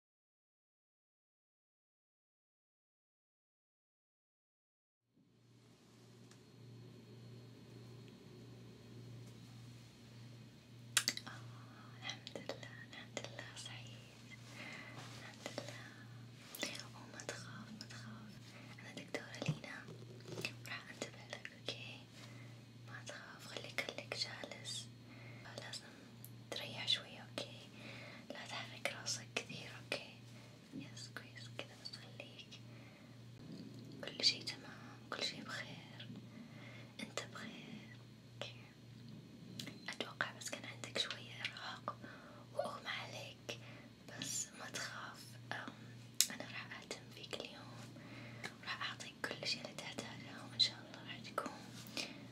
آه، الحمد لله الحمد لله سعيد الحمد لله وما تخاف ما تخاف أنا دكتورة لينا راح أنتبه لك أوكي ما تخاف خليك خليك جالس لازم تريح شوية اوكي لا تحرك راسك كثير اوكي يس كويس كذا بس خليك كل شي تمام كل شي بخير انت بخير اوكي اتوقع بس كان عندك شوية ارهاق واغمى عليك بس ما تخاف انا راح اهتم فيك اليوم وراح اعطيك كل شي اللي تحتاجه وان شاء الله راح تكون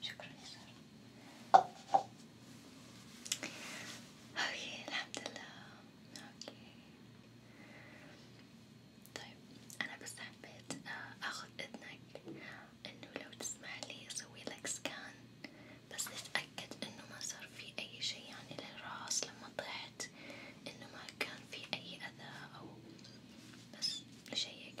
شكرا يا سارة اوكي الحمد لله اوكي طيب انا بس حبيت آه، اخذ اذنك انه لو تسمح لي اسوي لك سكان بس نتأكد انه ما صار في اي شيء يعني للراس لما طحت انه ما كان في اي اذى او بس لشيك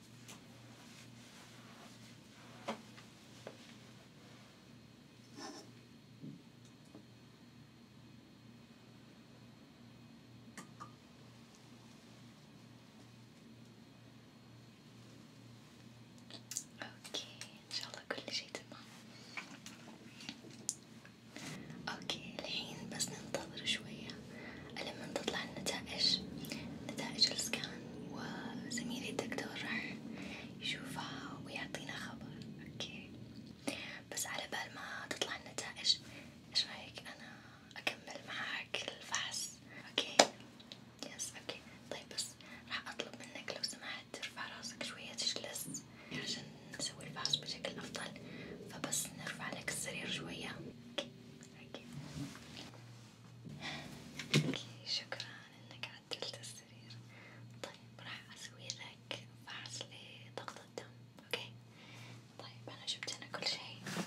اوكي ان شاء الله كل شيء تمام اوكي الحين بس ننتظر شوية لما تطلع النتائج نتائج السكان وزميلي الدكتور راح يشوفها ويعطينا خبر اوكي بس على بال ما تطلع النتائج ايش رايك انا اكمل معاك الفحص اوكي يس اوكي طيب بس راح اطلب منك لو سمحت ترفع راسك شوية تجلس عشان نسوي الفحص بشكل افضل فبس نرفع لك السرير شوية اوكي اوكي شكرا انك عدلت السرير طيب راح اسوي لك فحص لضغط الدم اوكي طيب انا جبت انا كل شيء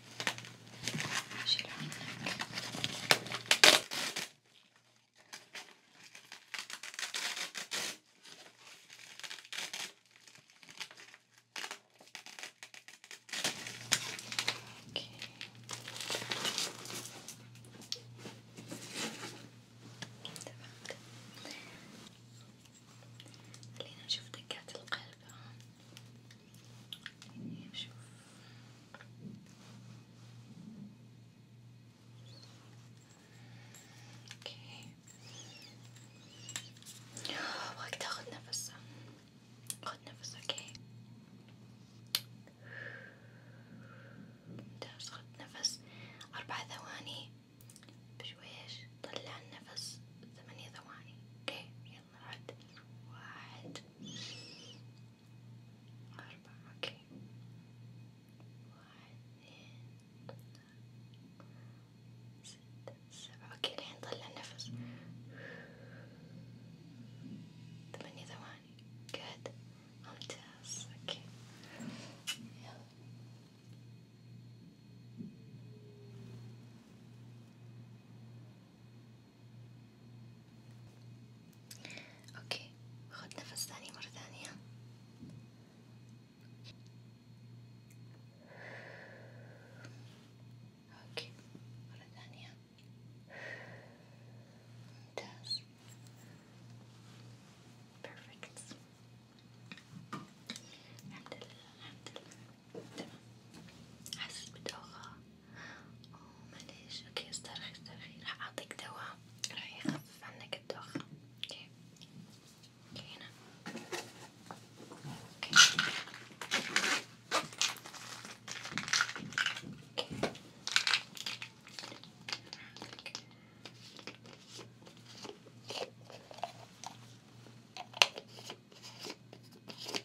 شيل عنك اوكي تمام خلينا نشوف دقات القلب ها يعني بشوف اوكي وقت تاخد نفس خد نفس اوكي ممتاز خد نفس اربع ثواني بشويش طلع النفس ثمانية ثواني اوكي يلا واحد واحد أربعة أوكي واحد اثنين ستة سبعة أوكي الحين طلع نفس ثمانية ثواني قعد ممتاز أوكي يلا اوكي خد نفس ثاني مرة ثانية اوكي مرة ثانية ممتاز perfect الحمد لله الحمد لله تمام حسيت بدوخة أوه معليش اوكي استرخي استرخي راح أعطيك دواء راح يخفف عنك الدوخة اوكي اوكي هنا اوكي اوكي اوكي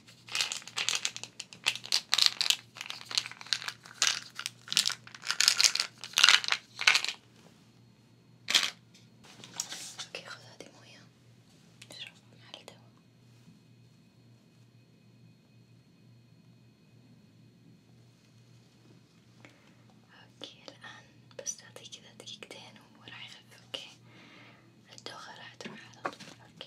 اوكي خذ هذه مويه اشربها مع الدواء اوكي الان بس تعطيه كذا دقيقتين وراح يخف اوكي الدوخة راح تروح على طول اوكي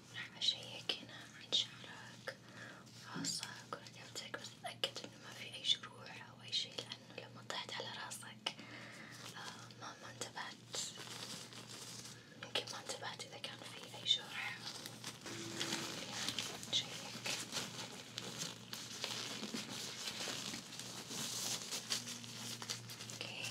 راح أشيك هنا عن شعرك وراسك ورقبتك بس أتأكد إنه ما في أي جروح أو أي شي لأنه لما طحت على راسك آه ما ما انتبهت يمكن ما انتبهت إذا كان في أي جرح يعني شيك اوكي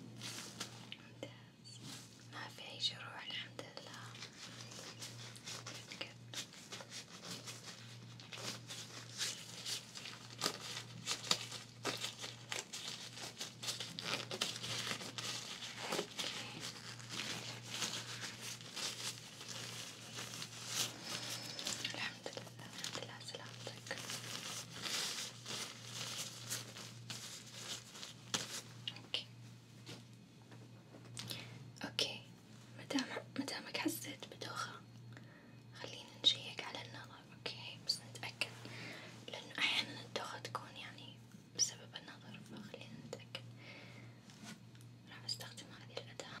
ممتاز ما في أي جروح الحمد لله ينقل الحمد لله الحمد لله سلامتك اوكي اوكي مدام مدامك حسيت بدوخة خلينا نشيك على النظر اوكي بس نتأكد لأنه أحيانا الدوخة تكون يعني بسبب النظر فخلينا نتأكد راح استخدم هذه الأداة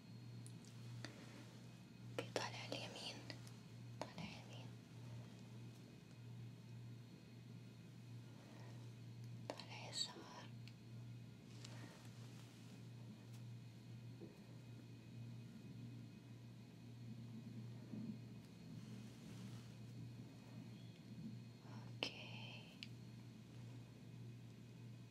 اوكي طالع اليمين طالع يمين طالع يسار اوكي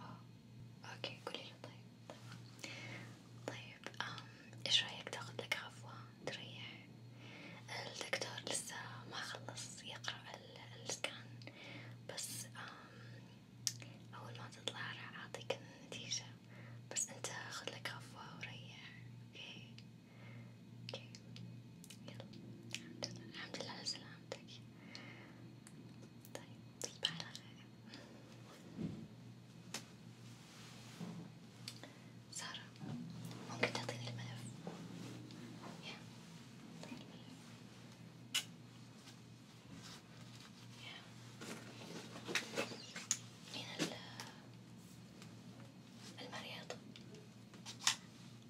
اه اوكي قولي له طيب طيب طيب أم ايش رايك تاخذ لك عفوة تريح الدكتور لسه ما خلص يقرأ السكان بس أم اول ما تطلع راح اعطيك النتيجة بس انت خذ لك عفوة وريح اوكي اوكي يلا الحمد لله الحمد لله على سلامتك طيب تصبح على خير سارة ممكن تعطيني الملف؟ يا تعطيني الملف يا من المريض